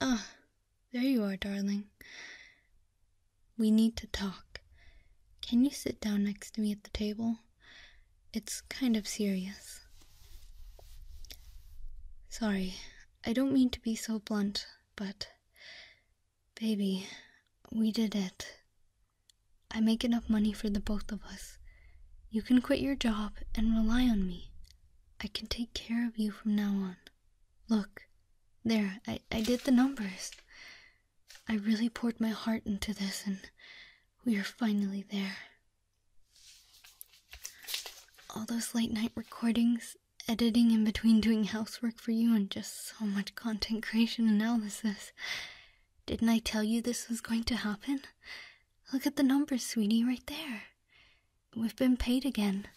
Ah, there you are, darling. We need to talk. Can you sit down next to me at the table? It's kind of serious. Sorry, I don't mean to be so blunt, but Baby, we did it. I make enough money for the both of us. You can quit your job and rely on me. I can take care of you from now on. Look, there, I, I did the numbers. I really poured my heart into this and we are finally there. All those late night recordings, editing in between doing housework for you, and just so much content creation analysis. Didn't I tell you this was going to happen? Look at the numbers, sweetie, right there. We've been paid again.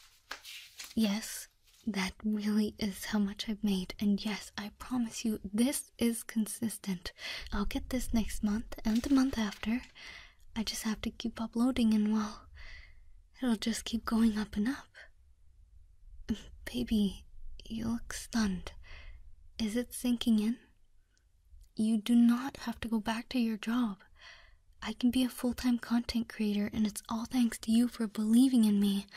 Yes, that really is how much I've made, and yes, I promise you, this is consistent. I'll get this next month and the month after. I just have to keep uploading, and well, it'll just keep going up and up. Baby, you look stunned. Is it sinking in? You do not have to go back to your job. I can be a full time content creator, and it's all thanks to you for believing in me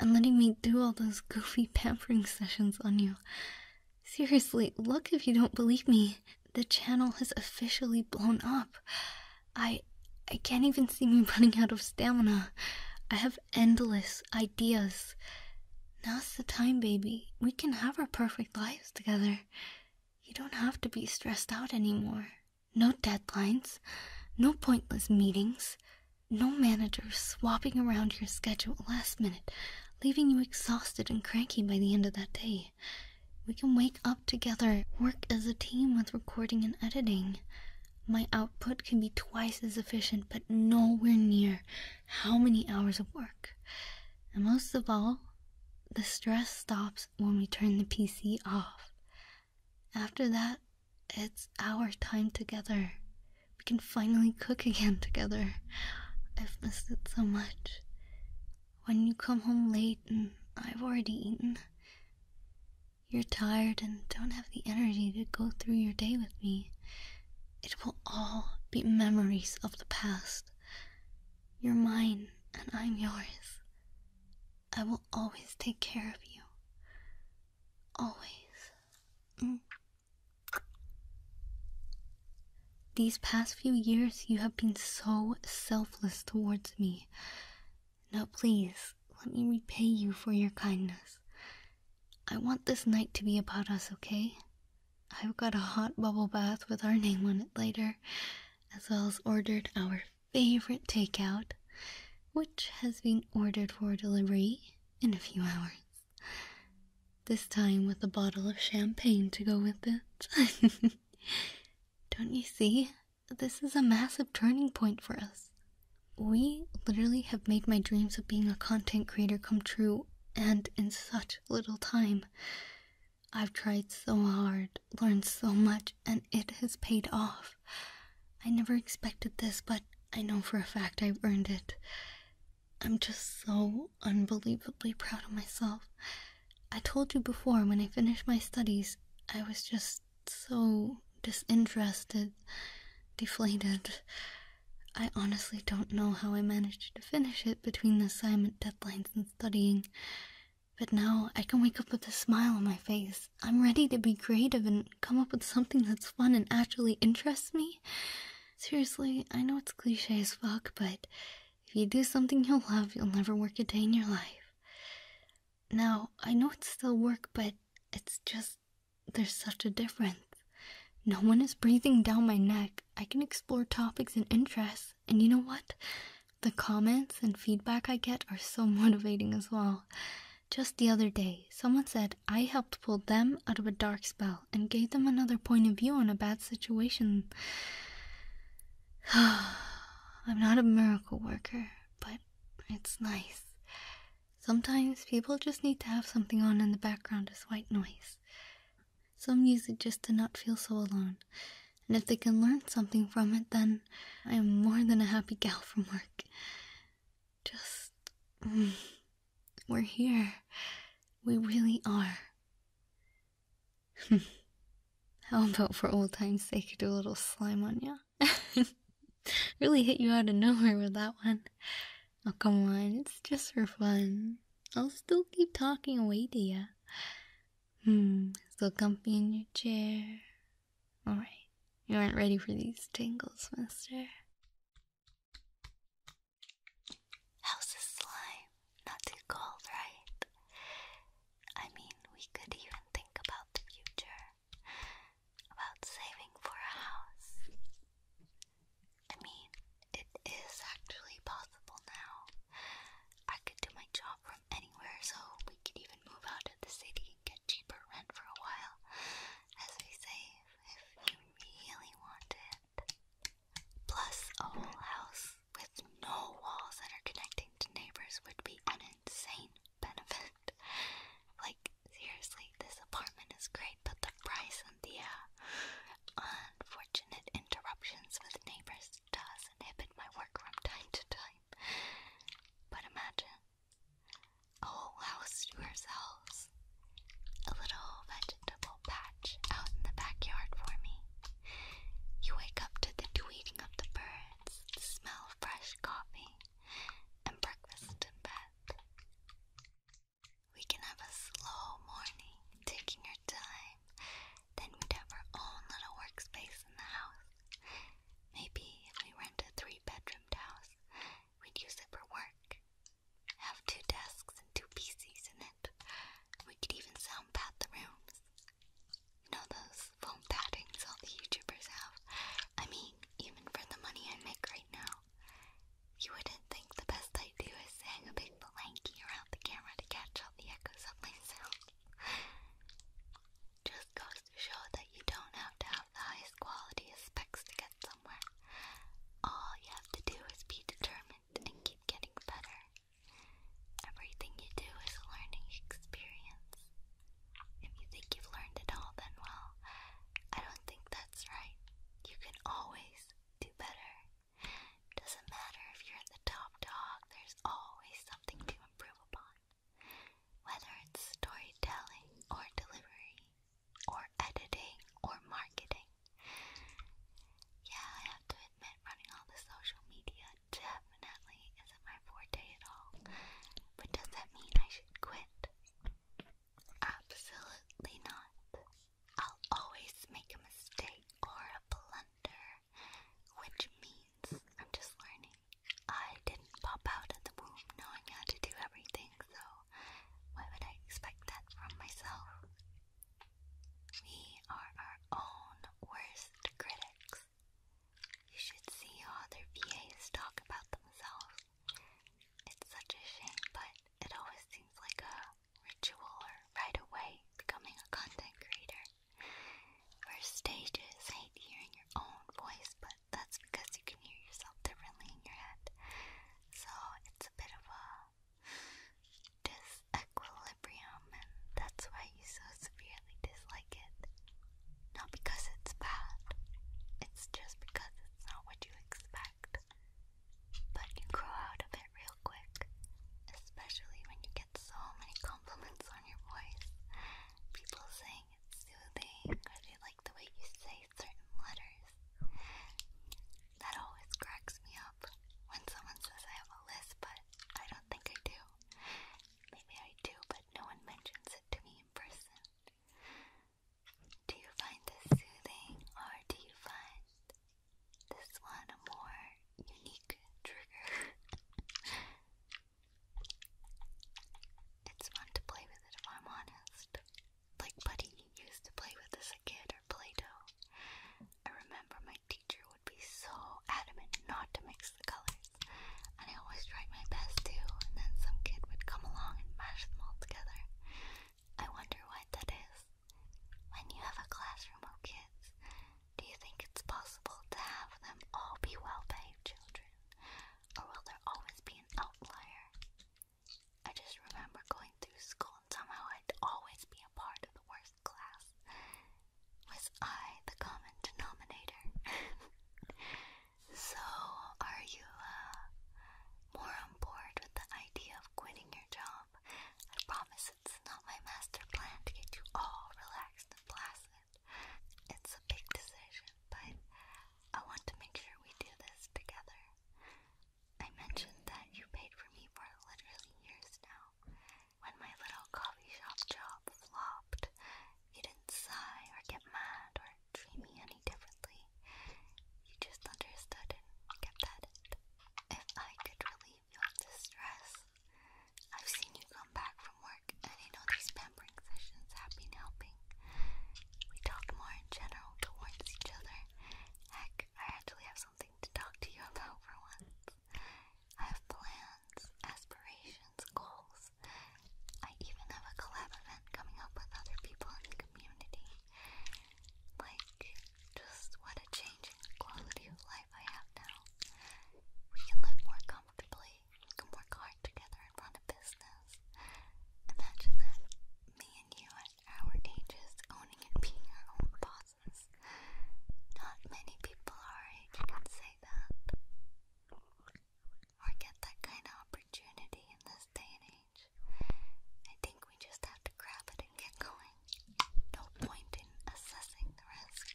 and letting me do all those goofy pampering sessions on you. Seriously, look if you don't believe me. The channel has officially blown up. I I can't even see me running out of stamina. I have endless ideas. Now's the time, baby. We can have our perfect lives together. You don't have to be stressed out anymore. No deadlines, no pointless meetings, no managers swapping around your schedule last minute, leaving you exhausted and cranky by the end of that day. We can wake up together, work as a team with recording and editing. My output can be twice as efficient, but nowhere near how many hours of work. And most of all, the stress stops when we turn the PC off. After that, it's our time together. We can finally cook again together. I've missed it so much. When you come home late and I've already eaten, you're tired and don't have the energy to go through your day with me. It will all be memories of the past. You're mine, and I'm yours. I will always take care of you. Always. Mm. These past few years, you have been so selfless towards me. Now, please, let me repay you for your kindness. I want this night to be about us, okay? I've got a hot bubble bath with our name on it later, as well as ordered our favorite takeout, which has been ordered for delivery in a few hours. This time with a bottle of champagne to go with it. Don't you see? This is a massive turning point for us. We literally have made my dreams of being a content creator come true, and in such little time. I've tried so hard, learned so much, and it has paid off. I never expected this, but I know for a fact I've earned it. I'm just so unbelievably proud of myself. I told you before, when I finished my studies, I was just so disinterested, deflated. I honestly don't know how I managed to finish it between the assignment deadlines and studying. But now I can wake up with a smile on my face. I'm ready to be creative and come up with something that's fun and actually interests me. Seriously, I know it's cliche as fuck, but if you do something you'll love, you'll never work a day in your life. Now, I know it's still work, but it's just there's such a difference. No one is breathing down my neck. I can explore topics and interests, and you know what? The comments and feedback I get are so motivating as well. Just the other day, someone said I helped pull them out of a dark spell and gave them another point of view on a bad situation. I'm not a miracle worker, but it's nice. Sometimes people just need to have something on in the background as white noise. Some use it just to not feel so alone. And if they can learn something from it, then I am more than a happy gal from work. Just. Mm, we're here. We really are. How about for old time's sake, do a little slime on ya? really hit you out of nowhere with that one. Oh, come on, it's just for fun. I'll still keep talking away to ya. Hmm, still comfy in your chair. Alright, you aren't ready for these tangles, mister. How's this slime? Not too cold, right? I mean, we could even think about the future about saving for a house. I mean, it is actually possible now. I could do my job from anywhere, so we could even move out of the city and get cheaper rent for a while as we save if you really want Plus, a whole house with no walls that are connecting to neighbors would be an insane benefit. Like, seriously, this apartment is great, but the price and the uh, unfortunate interruptions with neighbors does inhibit my work from time to time. But imagine a whole house to ourselves, a little vegetable patch out in the backyard for me. You wake up to the tweeting of the birds, smell fresh coffee, and breakfast in bed. We can have a slow morning, taking our time. Then we'd have our own little workspace in the house. Maybe we rent a three bedroomed house, we'd use it for work. Have two desks and two PCs in it. We could even sound pad the rooms. You know those foam paddings all the YouTubers have? I mean, even for the money I make right now, you wouldn't think the best I do is hang a big blankie around the camera to catch all the echoes of my sound. Just goes to show that you don't have to have the highest quality specs to get somewhere. All you have to do is be determined and keep getting better. Everything you do is a learning experience. If you think you've learned it all, then well, I don't think that that's right. You can always do better. Doesn't matter if you're the top dog, there's always something to improve upon. Whether it's storytelling or delivery or editing or marketing. Yeah, I have to admit running all the social media definitely isn't my forte at all. But does that mean I should quit? Absolutely not. I'll always make a mistake or a blunder, which means I'm just learning. I didn't pop out of the womb knowing how to do everything, so why would I expect that from myself? We are our own worst critics. You should see how other VAs talk about themselves. It's such a shame, but it always seems like a ritual or right away becoming a content creator. First stages hate hearing your own voice, but that's because you can hear yourself differently in your head. So it's a bit of a disequilibrium, and that's why you so severely dislike it. Not because it's bad, it's just because it's not what you expect but you grow out of it real quick, especially when you get so many compliments on your voice. People saying it's soothing, or they like the way you say certain letters. That always cracks me up when someone says I have a lisp, but I don't think I do. Maybe I do, but no one mentions it to me in person. Do you find this soothing or do you find this one a more unique trigger? it's fun to play with it if I'm honest. Like Buddy used to play with as a kid or Play I remember my teacher would be so adamant not to mix the colors, and I always tried my best to, and then some kid would come along and mash them all together. I wonder what that is. When you have a classroom of kids, do you think it's possible to have them all be well behaved children? Or will there always be an outlier? I just remember going through school and somehow I'd always be a part of the worst class. Was I the common denominator? so, are you, uh, more on board with the idea of quitting your job. I promise it's not my master plan to get you all relaxed and placid. It's a big decision, but I want to make sure we do this together. I mentioned that you paid for me for literally years now. When my little coffee shop job flopped, you didn't sigh or get mad or treat me any differently. You just understood and kept at If I could relieve your distress, I've seen you come back from work, and I know these pampering sessions have been helping. We talked more in general towards each other. Heck, I actually have something to talk to you about for once. I have plans, aspirations, goals. I even have a collab event coming up with other people in the community. Like, just what a change in quality of life I have now. We can live more comfortably, we can work hard together and run a business. Imagine that me and you at our ages owning and being our own bosses. Not many people our age can say that. Or get that kind of opportunity in this day I think we just have to grab it and get going. No point in assessing the risks.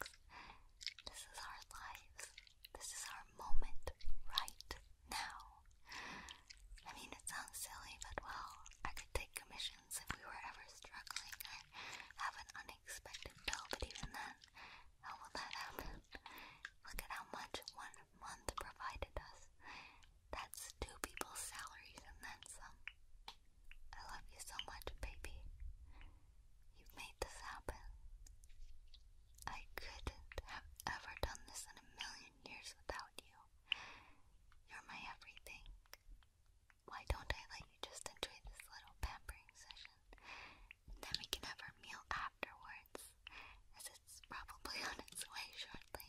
This is our lives. This is our moment right now. I mean, it sounds silly, but well, I could take commissions if we were ever struggling or have an unexpected bill, but even then, how will that happen? Look at how much one month provided us. That's two people's salaries and then some. I love you so much, baby. You've made this happen. I couldn't have ever done this in a million years without you. You're my everything. Why don't I let you just enjoy this little pampering session? then we can have our meal afterwards, as it's probably on its way shortly.